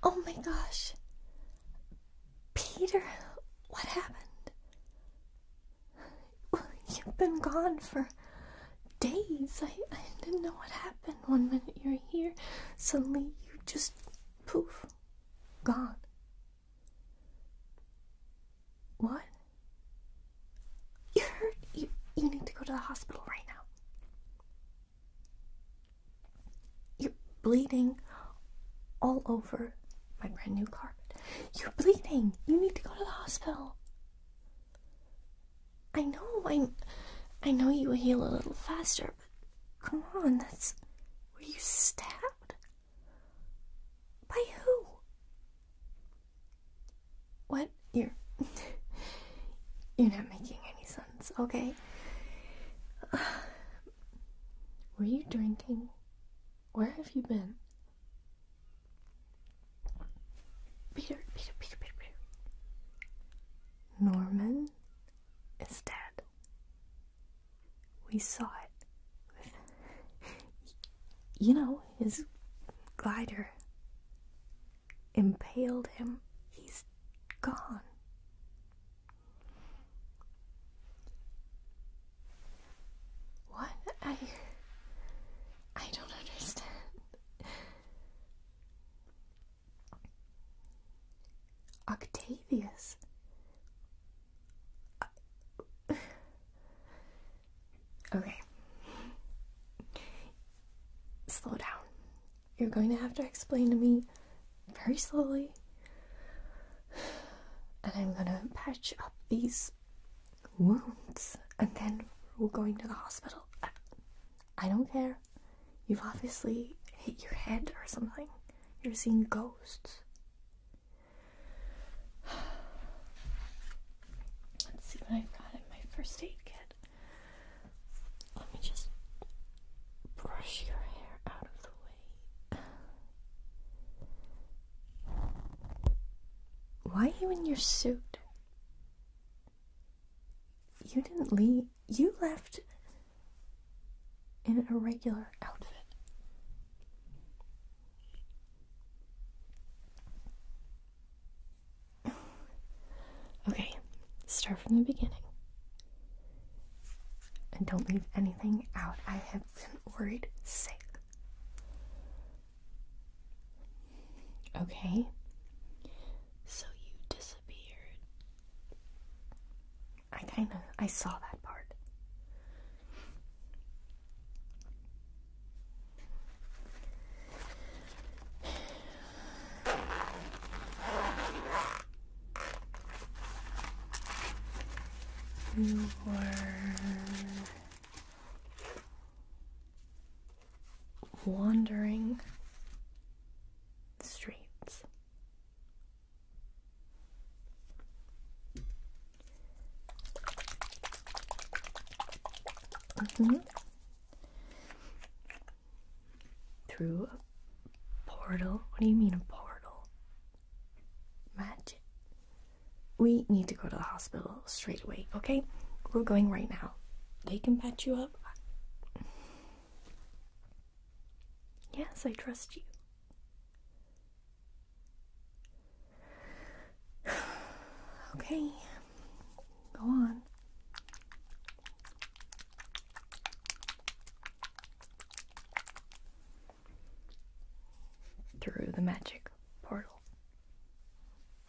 Oh my gosh. Peter, what happened? You've been gone for days. I, didn't know what happened. One minute you're here, suddenly you just poof, gone. What? You hurt? You, you need to go to the hospital right now. You're bleeding all over my brand new carpet. You're bleeding. You need to go to the hospital. I know, I, I know you will heal a little faster, but come on, that's. where you stabbed? By who? What? You're. You're not making any sense, okay? were you drinking? Where have you been? Peter, Peter, Peter, Peter, Norman is dead. We saw it you know, his glider impaled him. He's gone. What? I. I don't understand. Octavius. Uh, okay. Slow down. You're going to have to explain to me very slowly. And I'm going to patch up these wounds and then we're going to the hospital. I don't care. You've obviously hit your head or something. You're seeing ghosts. Let's see what I've got in my first aid kit. Let me just brush your hair out of the way. Why are you in your suit? You didn't leave. You left in an irregular outfit. Okay, start from the beginning. And don't leave anything out. I have been worried sick. Okay. So you disappeared. I kind of I saw that part. You were wandering streets. Mm-hmm. Through a portal? What do you mean a portal? Magic. We need to go to the hospital straight away, okay? We're going right now. They can patch you up. Yes, I trust you. Okay, go on. Through the magic portal.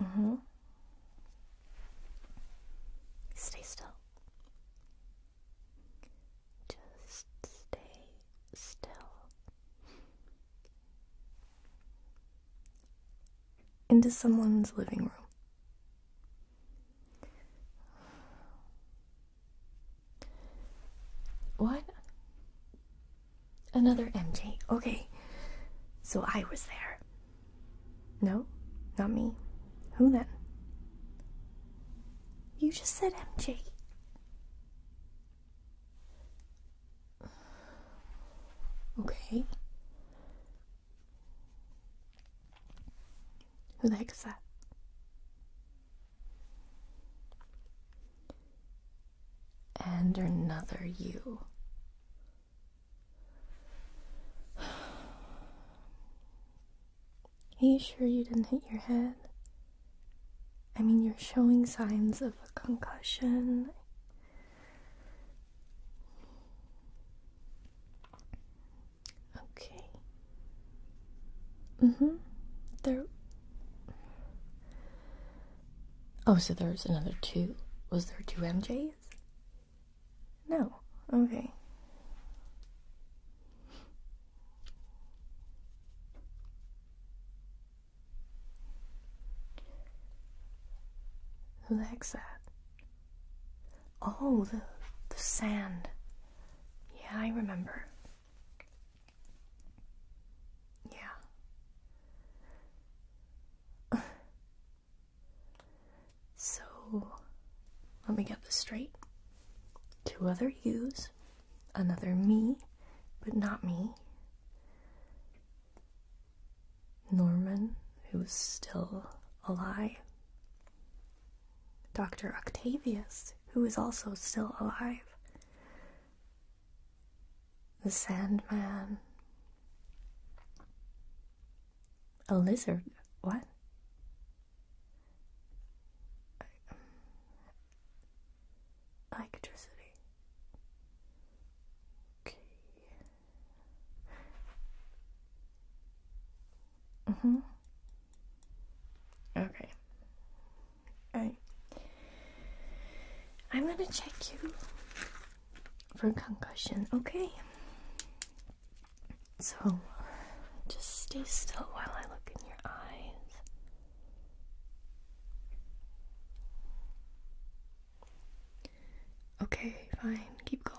Mm hmm. Stay still. Just stay still. Into someone's living room. What? Another MJ. Okay. So I was there. No, not me. Who then? You just said MJ. Okay. Who the heck is that? And another you. Are you sure you didn't hit your head? I mean, you're showing signs of a concussion. Okay. Mm hmm. There. Oh, so there's another two. Was there two MJs? No. Okay. Who likes that? Oh, the, the sand. Yeah, I remember. Yeah. So let me get this straight. Two other yous, another me, but not me. Norman, who's still alive. Dr. Octavius, who is also still alive. The sandman, a lizard. What? Electricity. Okay. Mm-hmm. Okay. Alright. I'm gonna check you for concussion. Okay. So just stay still while I look in your eyes. Okay, fine. Keep going.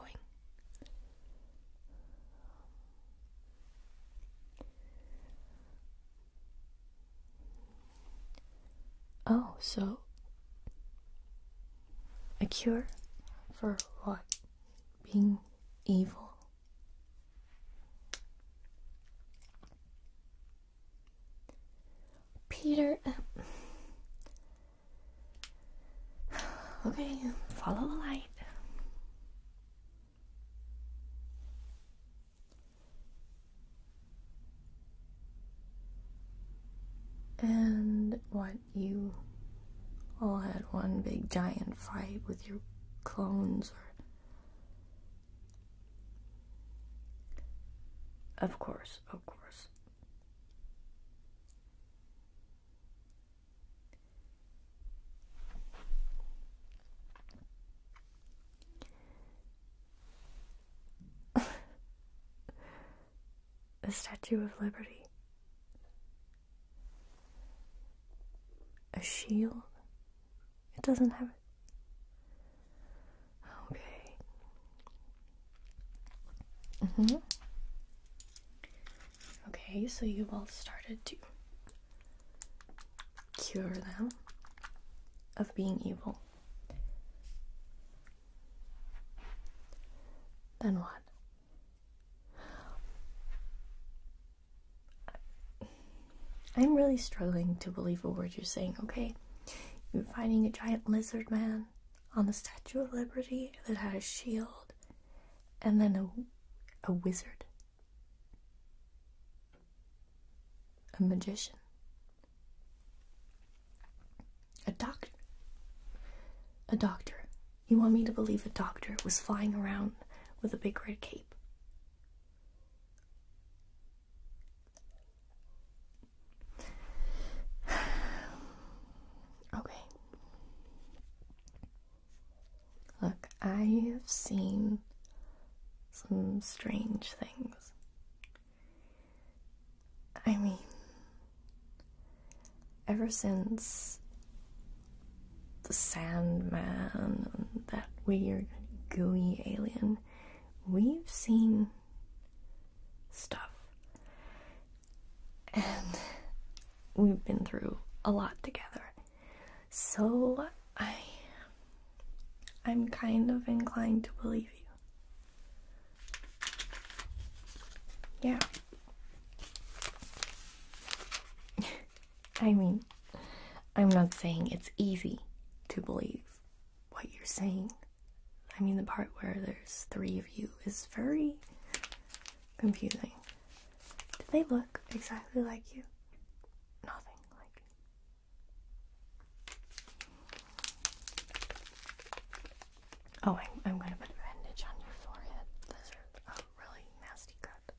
Oh, so a cure for what? Being evil? Peter. okay, follow the light. And what you all had one big giant fight with your clones or Of course, of course. A Statue of Liberty. A shield? It doesn't have it. Okay. Mm-hmm. Okay, so you all started to cure them of being evil. Then what? I'm really struggling to believe a word you're saying, okay? You're finding a giant lizard man on the Statue of Liberty that had a shield and then a, a wizard a magician, a doctor. A doctor. You want me to believe a doctor was flying around with a big red cape? okay. Look, I have seen some strange things. I mean, ever since the Sandman and that weird gooey alien, we've seen stuff. And we've been through a lot together. So I I'm kind of inclined to believe you. Yeah. I mean, I'm not saying it's easy to believe what you're saying. I mean, the part where there's three of you is very confusing. Do they look exactly like you? Nothing like Oh, I'm, I'm going to put bandage on your forehead. Those are a um, really nasty cut.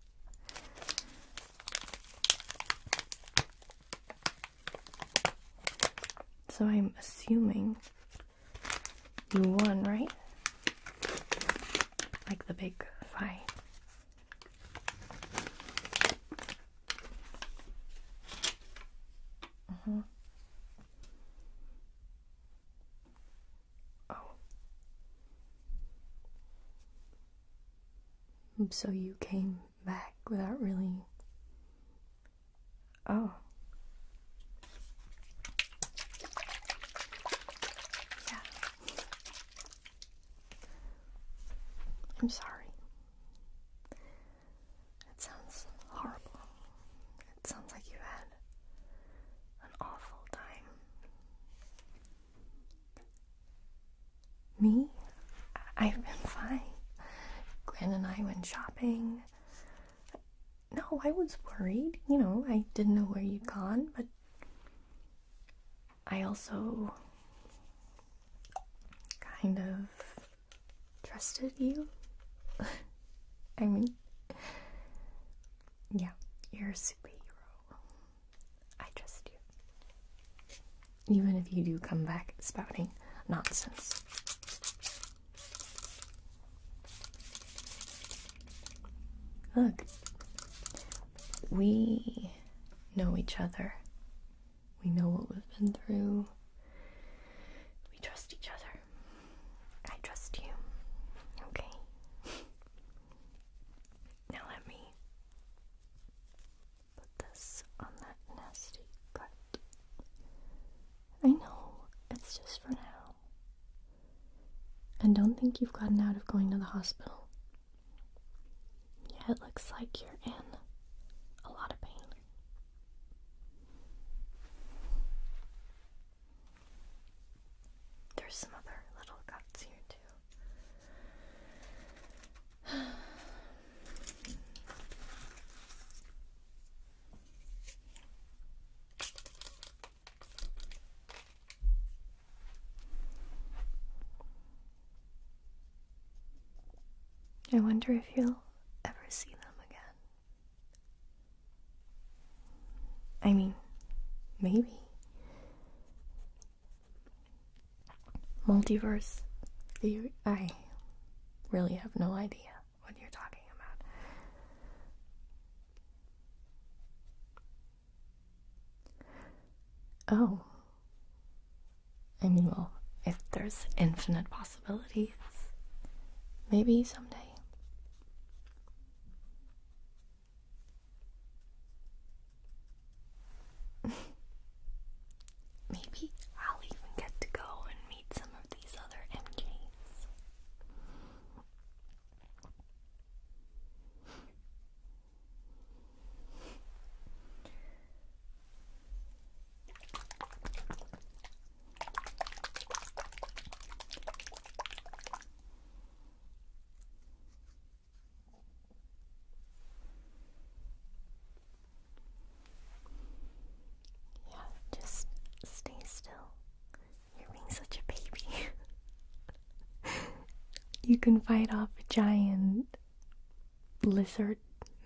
So I'm assuming you won, right? Like the big fight. Uh-huh. Oh. So you came back without really. Oh. Yeah. I'm sorry. It sounds horrible. It sounds like you had an awful time. Me? I've been fine. Glenn and I went shopping. No, I was worried. You know, I didn't know where you'd gone, but I also kind of trusted you. I mean, yeah, you're a superhero. I trust you. Even if you do come back spouting nonsense. Look, we know each other we know what we've been through. We trust each other. I trust you. Okay. now let me put this on that nasty cut. I know, it's just for now. And don't think you've gotten out of going to the hospital. Yeah, it looks like you're in a lot of pain. There's some other little cuts here, too. I wonder if you'll ever see them again. I mean, maybe. Multiverse theory? I really have no idea what you're talking about. Oh, I mean, well, if there's infinite possibilities, maybe someday. Maybe I'll even get to go and meet some of these other MJs. Yeah, just stay still. You're being such a baby. you can fight off a giant lizard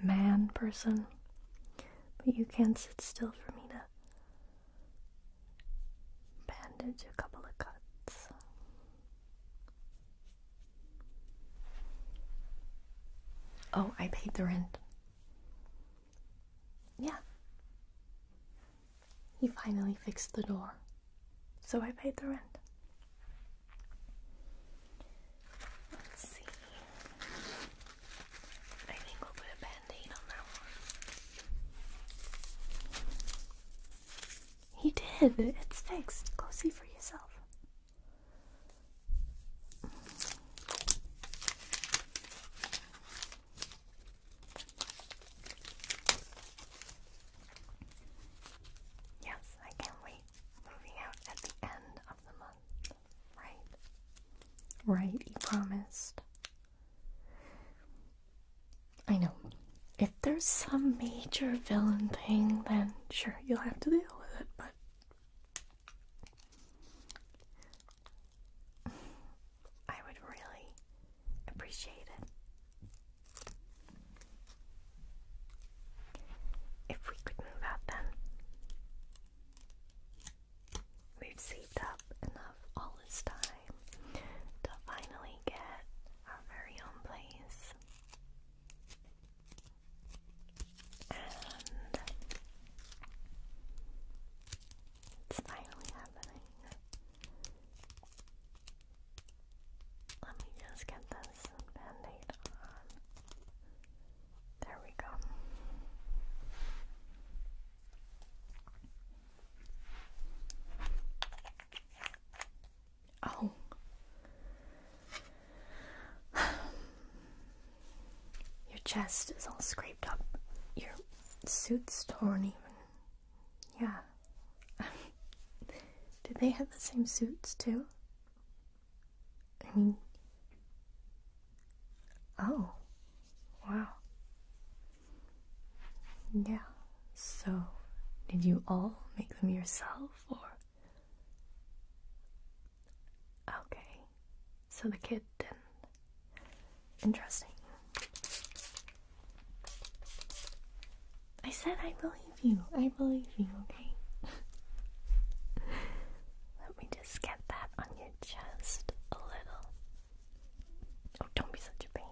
man person. But you can't sit still for me to bandage a couple of cuts. Oh, I paid the rent. Yeah. He finally fixed the door. So I paid the rent. Let's see. I think we'll put a band on that one. He did. It's fixed. Go see for yourself. Yes, I can't wait moving out at the end of the month, right? Right, you promised. I know. If there's some major villain thing, then sure, you'll have to deal with it, but. I would really appreciate it if we could move out then. We've saved up enough all this time to finally get our very own place. And it's finally happening. Let me just get this band on. There we go. Oh. Your chest is all scraped up. Your suit's torn, even. Yeah. Did they have the same suits too? I mean, oh, wow. Yeah, so did you all make them yourself or? Okay, so the kid didn't. Interesting. I said I believe you. I believe you, okay? Let me just get that on your chest a little. Oh, don't be such a baby.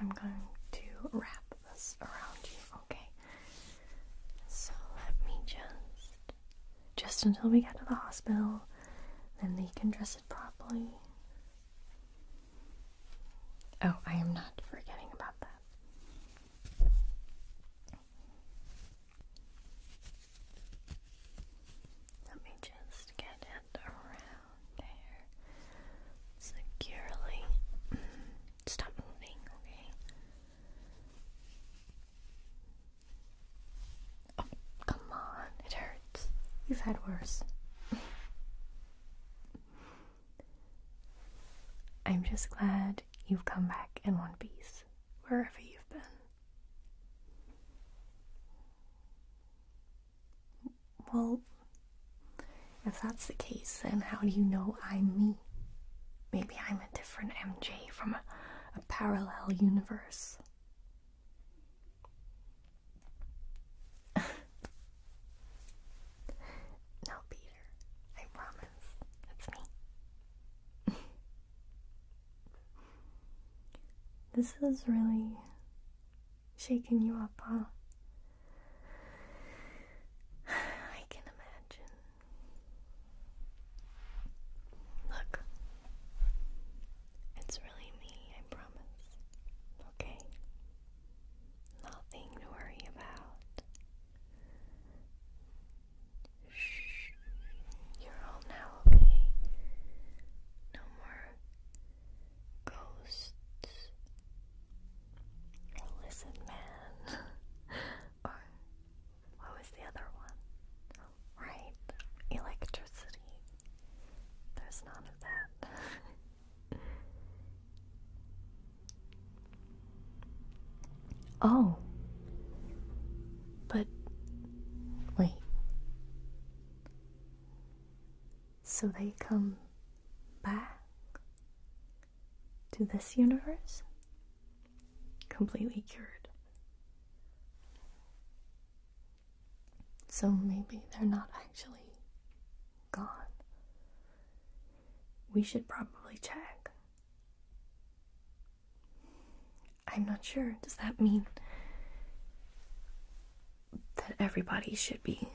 I'm going to wrap this around you, okay? So let me just, just until we get to the hospital, then they can dress it properly. Oh, I am not forgetting about that. Let me just get it around there securely. Stop moving, okay? Oh, come on, it hurts. You've had worse. I'm just glad you've come back in one piece, wherever you've been. Well, if that's the case, then how do you know I'm me? Maybe I'm a different MJ from a, parallel universe. no, Peter, I promise. It's me. this is really shaking you up, huh? I can imagine. Look, it's really me, I promise. Okay? Nothing to worry about. Shh. You're all now okay. No more ghosts. Listen, man. or what was the other one? Right, electricity. There's none of that. oh, but wait so they come back to this universe completely cured. So maybe they're not actually gone. We should probably check. I'm not sure. Does that mean that everybody should be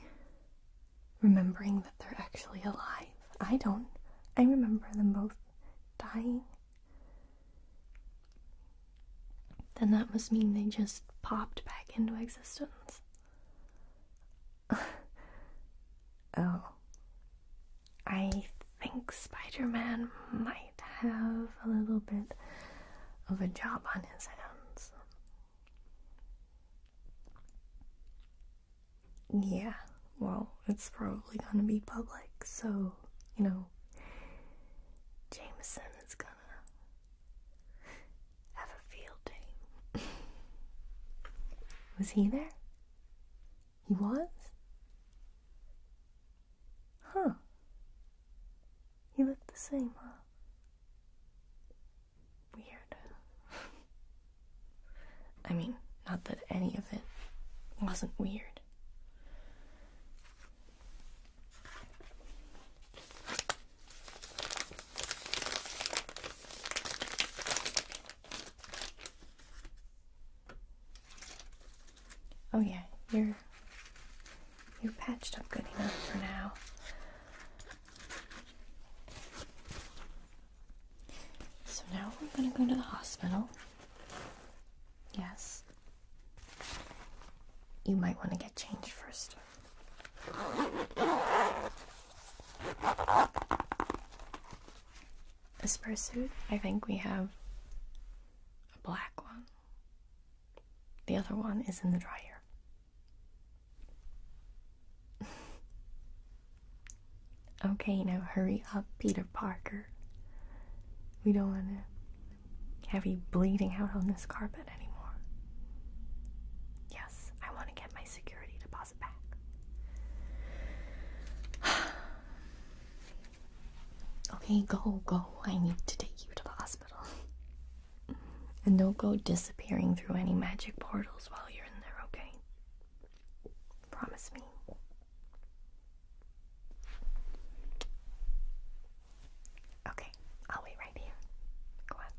remembering that they're actually alive. I don't. I remember them both dying. Then that must mean they just popped back into existence. oh. I think Spider Man might might have a little bit of a job on his hands. Yeah, well, it's probably gonna be public, so, you know, Jameson is gonna have a field day. was he there? He was? Huh. You look the same, huh? Weird. I mean, not that any of it wasn't weird. Oh, yeah, you're you're patched up good enough for now. So now we're gonna go to the hospital. Yes. You might want to get changed first. A spare suit? I think we have a black one. The other one is in the dryer. okay, now hurry up, Peter Parker. We don't want to have you bleeding out on this carpet anymore. Yes, I want to get my security deposit back. Okay, go, go. I need to take you to the hospital. and don't go disappearing through any magic portals while you're in there, okay? Promise me. Okay, I'll wait right here. Go on.